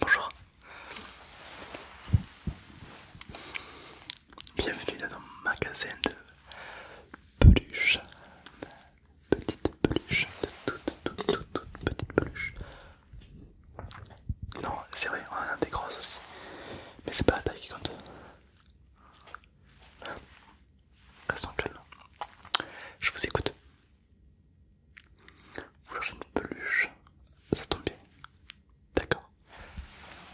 Bonjour. Bienvenue dans mon magasin de peluches. Petite peluche, de toutes toutes toutes petite peluche. Non, c'est vrai, on a des grosses aussi. Mais c'est pas la taille qui compte. Restons calmes. Je vous écoute. Vous cherchez une peluche, ça tombe bien. D'accord.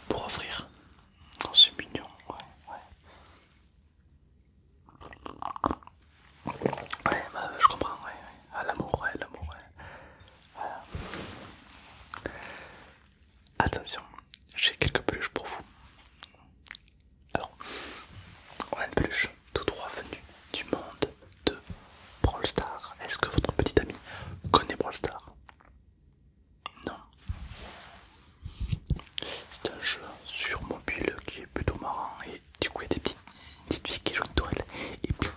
Pour offrir. Oh, c'est mignon, ouais, ouais. Ouais, bah, je comprends, ouais, ouais. Ah, l'amour, ouais, l'amour, ouais. Voilà. Attention, j'ai quelques peluches pour vous. Alors, on a une peluche tout trois venus du monde de Brawl Stars. Est-ce que votre petit ami connaît Brawl Stars Non. C'est un jeu sur mobile qui est plutôt marrant et du coup il y a des petites, petites filles qui jouent une tourelle et piou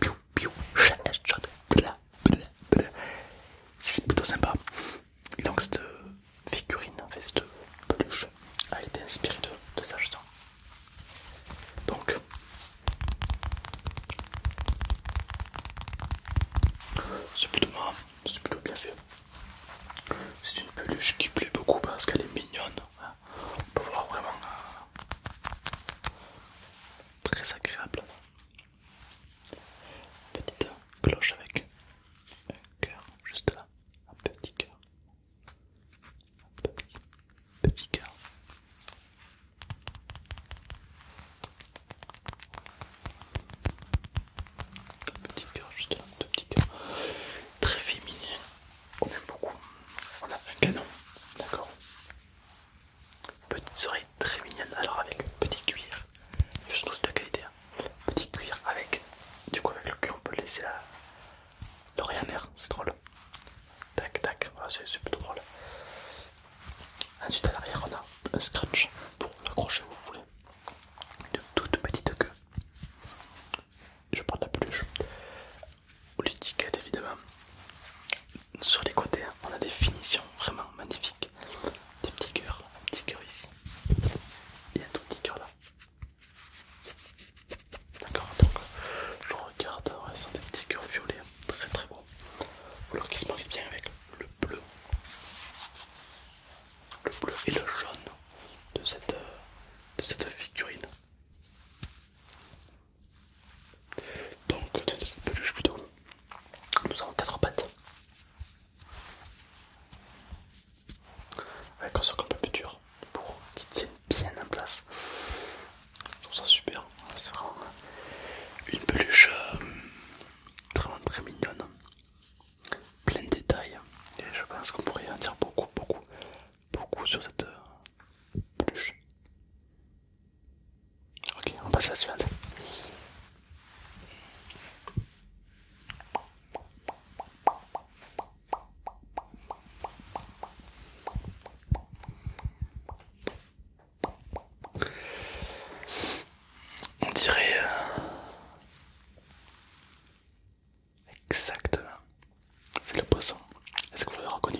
piou piou piou, de la c'est plutôt sympa. Et donc cette figurine, en fait, cette peluche a été inspirée de, ça justement. Donc c'est plutôt marrant, c'est plutôt bien fait. C'est une peluche qui plaît beaucoup parce qu'elle est mignonne. Hein. On peut voir vraiment euh, très agréable. Petite cloche avec un cœur juste là, un petit cœur, un petit, petit cœur. Un petit cœur juste là, un petit cœur. Très féminin, on aime beaucoup. On a un canon, d'accord Petites oreilles très mignonnes, alors avec petit cuir, nous c'est de qualité. Hein. Petit cuir avec, du coup, avec le cuir, on peut laisser l'oreille en air, c'est drôle. Tac, tac, c'est plutôt drôle. Ensuite, à l'arrière, on a un scratch pour accrocher où vous voulez. Une toute petite queue. Je parle de la peluche. Ou l'étiquette, évidemment. Sur les côtés, hein, on a des finitions vraiment magnifiques. Des petits cœurs, un petit cœur ici et un tout petit cœur là. D'accord, donc je regarde, ouais, c'est des petits cœurs violets, très très beaux. Alors qu'ils se marient bien avec le bleu. Le bleu et le jaune de cette, de cette figurine. Donc de cette peluche plutôt. Nous avons 4 pattes. Avec un socle un peu plus dur pour qu'ils tiennent bien en place. Je trouve ça super. C'est vraiment une peluche euh, vraiment très mignonne. Plein de détails. Et je pense qu'on pourrait en dire beaucoup, beaucoup, beaucoup sur cette euh, peluche. Ok, on passe à la suivante. On dirait euh, exactement, c'est le poisson. Est-ce que vous l'avez reconnu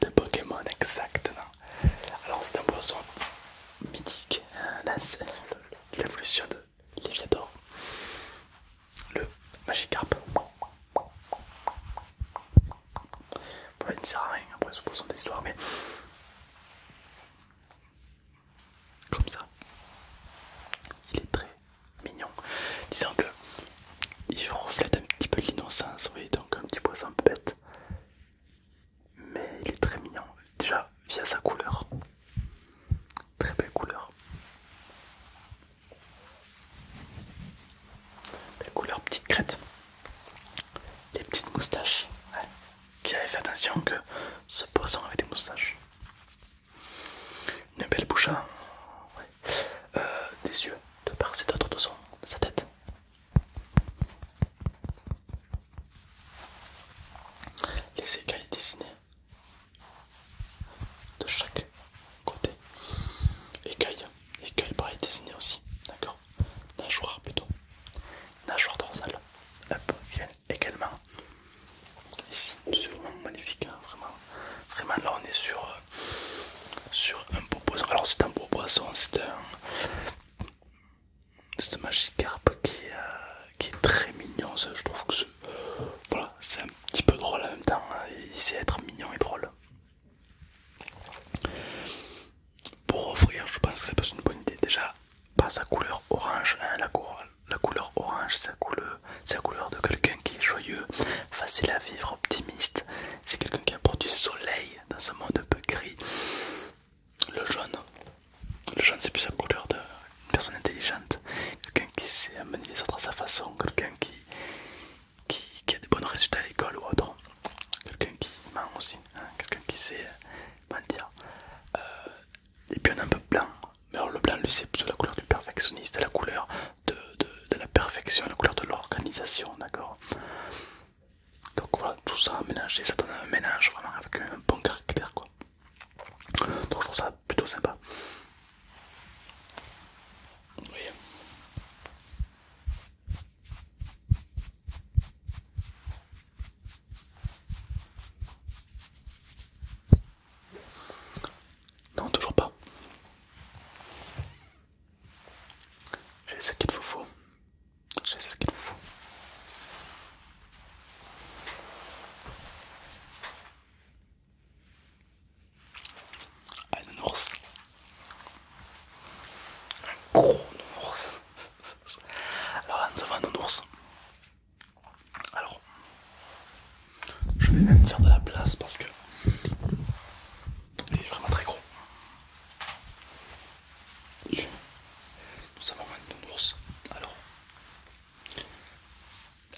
de Pokémon exactement. Alors c'est un poisson mythique, l'évolution de Léviador, le Magikarp. Bon, il ne sert à rien après ce poisson d'histoire, mais comme ça, il est très mignon. Disons que il reflète un petit peu l'innocence, oui, donc un petit poisson bête mais il est très mignon déjà via sa couleur très belle couleur Belle couleur petite crête des petites moustaches qui avait fait attention que ce poisson avait des moustaches une belle bouche hein. euh, des yeux de part et d'autre de sa tête les écailles dessinées de chaque côté. Écailles, écailles pareil dessinées aussi, d'accord Nageoire plutôt. Nageoire dorsale. Hop, viennent également ici. C'est vraiment magnifique, hein, vraiment. Vraiment là on est sur, euh, sur un beau poisson. Alors c'est un beau poisson, c'est un c'est un Magikarp euh, qui, est très mignon. Je trouve que c'est un petit peu drôle en même temps. Hein, il sait être mignon et drôle. Pour offrir, je pense que c'est pas une bonne idée. Déjà, pas sa couleur orange. Hein, la, couleur orange, c'est la couleur de quelqu'un qui est joyeux, facile à vivre, optimiste. C'est quelqu'un qui apporte du soleil dans ce monde un peu gris. Le jaune, le c'est plus la couleur d'une personne intelligente, quelqu'un qui sait amener les autres à sa façon, quelqu'un qui, qui, a des bons résultats à l'école ou autre, quelqu'un qui ment aussi, hein. quelqu'un qui sait mentir. Euh, et puis on a un peu blanc, mais alors le blanc lui c'est plutôt la couleur du perfectionniste, la couleur de, de la perfection, la couleur de l'organisation, d'accord donc voilà, tout ça mélangé, ça donne un mélange vraiment avec un bon caractère quoi. Donc je trouve ça plutôt sympa. Non, toujours pas. J'ai ce qu'il vous faut. J'ai ce qu'il vous faut. Un ours. Un gros ours. Alors là, nous avons un ours. Alors, je vais même faire de la place parce que il est vraiment très gros. Nous avons un ours. Alors,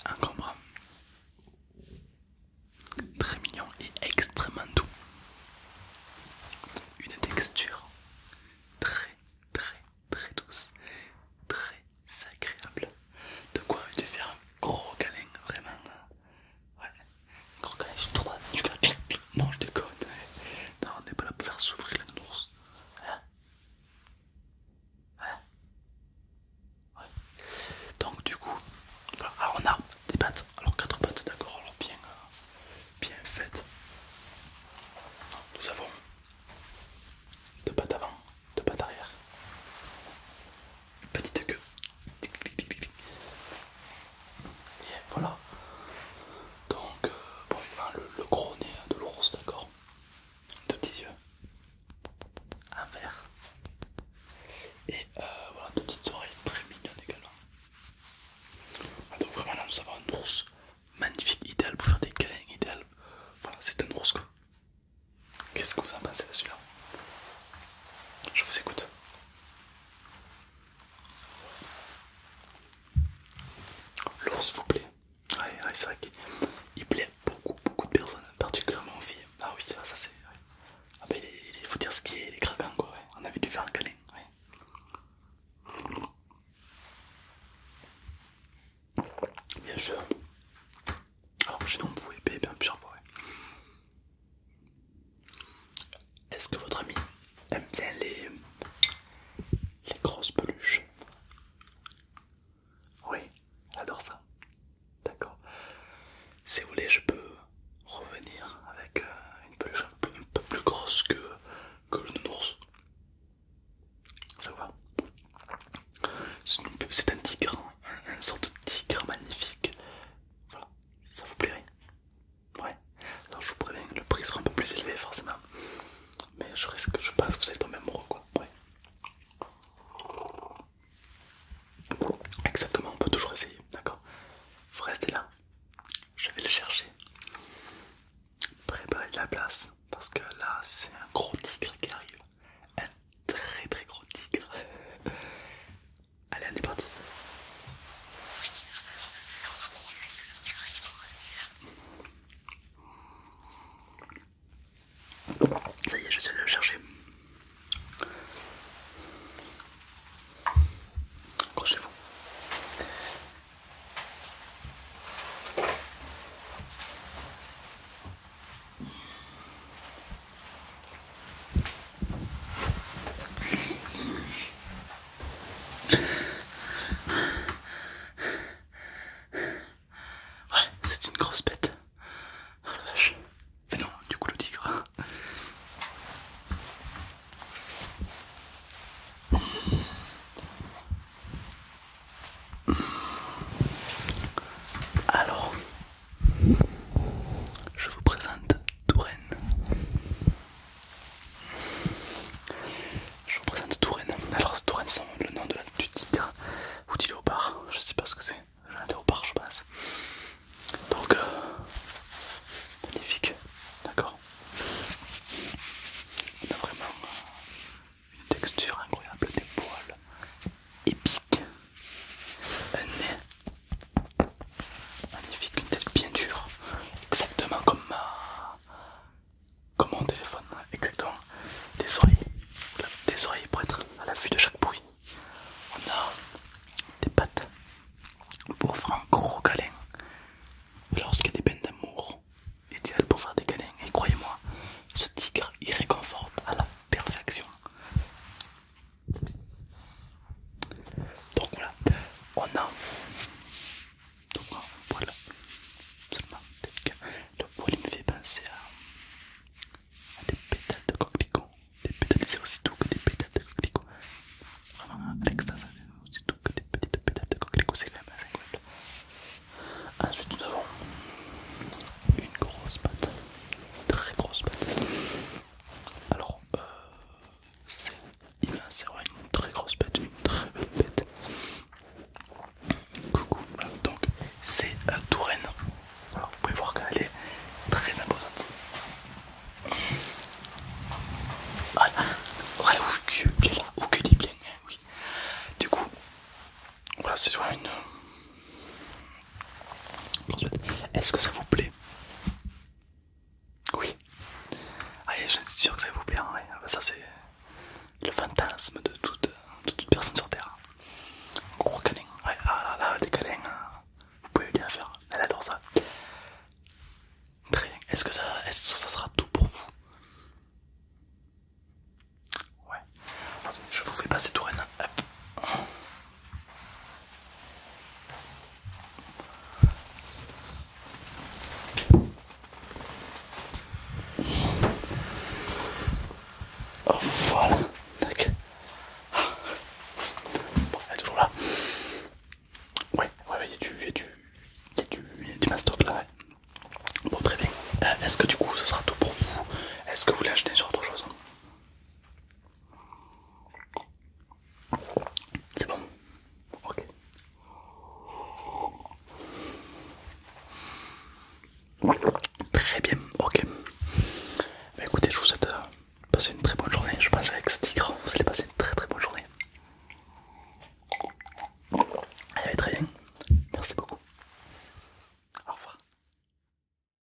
un Très mignon et extrêmement doux. Une texture très très très douce, très agréable. De quoi tu faire un gros câlin, vraiment. Non, je déconne. Non, on n'est pas là pour faire souffrir la nounours. Hein hein Donc, du coup, Alors, ah, on a des pattes. Alors, quatre pattes, d'accord. Alors, bien, euh, bien faites. Nous avons deux pattes avant, deux pattes arrière. Petite queue et voilà. Donc, euh, eh ben, le, gros nez de l'ours, d'accord De petits yeux. Un vert Et euh, voilà, deux petites oreilles très mignonnes également. Ah, donc vraiment là, nous avons un ours magnifique, idéal pour faire des câlins, idéal. Voilà, c'est un ours quoi. Qu'est-ce que vous en pensez de celui-là Je vous écoute. L'ours vous plaît Ouais, c'est vrai qu'il plaît beaucoup, beaucoup de personnes, particulièrement aux filles. Ah oui, ça c'est... Ah ben, il, faut dire ce qui est, il est craquant quoi, on avait dû faire un câlin. Bien sûr. Alors j'ai donc vous épée bien plusieurs fois. Est-ce que votre ami aime bien les, grosses peluches Oui, adore ça. D'accord. Si vous voulez, je peux revenir avec euh, une peluche un peu, plus grosse que, que le nounours. Ça va C'est un tigre, hein, un, sort sorte de tigre magnifique. Voilà, ça vous plairait Ouais. Alors je vous préviens, le prix sera un peu plus élevé forcément. Mais je risque, je pense que vous allez tomber amoureux quoi. Exactement, on peut toujours essayer, d'accord Vous restez là, je vais le chercher. préparer de la place, parce que là c'est un gros tigre qui arrive. Un très très gros tigre. Allez, on est parti. Ça y est, je suis allé le chercher. crochez vous Ouais, c'est une grosse bête. Oh vache. Mais non, du coup le tigre. Alors, je vous présente Touraine. Je vous présente Touraine. Alors Touraine c'est le nom de la, du tigre ou du léopard. Je sais pas ce que c'est. Un léopard je pense. Donc euh, magnifique. D'accord. On a vraiment euh, une texture incroyable, des poils épiques, un nez Magnifique, une tête bien dure, exactement comme ma... comme mon téléphone, hein, exactement. Des oreilles, des oreilles pour être à l'affût de chaque bruit. On a des pattes pour faire un gros câlin. Lorsqu'il y a des peines d'amour, idéal pour faire des câlins. Et croyez-moi, ce tigre il réconforte à la perfection. Donc voilà, on a donc voilà seulement le poil me fait penser à, des pétales de coquelicot, des pétales c'est aussi doux que des pétales de coquelicot. Vraiment l'extase c'est aussi doux que des petites pétales de coquelicot, c'est quand même assez incroyable. Ensuite nous avons une grosse pâte, très grosse pâte alors, euh, c'est vraiment une très grosse bête, une très belle bête. Coucou, donc c'est un euh, Touraine. vous pouvez voir qu'elle est très imposante. Voilà, voilà où que les oui. Du coup, voilà, c'est vraiment une est-ce que ça vous plaît Oui. Ah, je suis sûr que ça vous plaît. Hein, ah, bah, ça c'est le fantasme de toute, personne sur Terre. Gros câlin. Ouais, ah là là, des câlins. Hein. Vous pouvez bien faire. Elle adore ça. Très bien. Est-ce que ça, ça, sera tout pour vous Ouais. Je vous fais passer tout Hop. Oh, voilà, tac. Bon, elle est toujours là. Ouais, ouais, ouais, il y a du, mastoc là. Bon, très bien. Euh, est-ce que du coup, ce sera tout pour vous Est-ce que vous voulez acheter sur autre chose c'est bon Ok. Très bien, ok. Bah écoutez, je vous souhaite euh, passer une très bonne journée. Je pense avec ce tigre, vous allez passer une très très bonne journée. Allez, très bien. Merci beaucoup. Au revoir.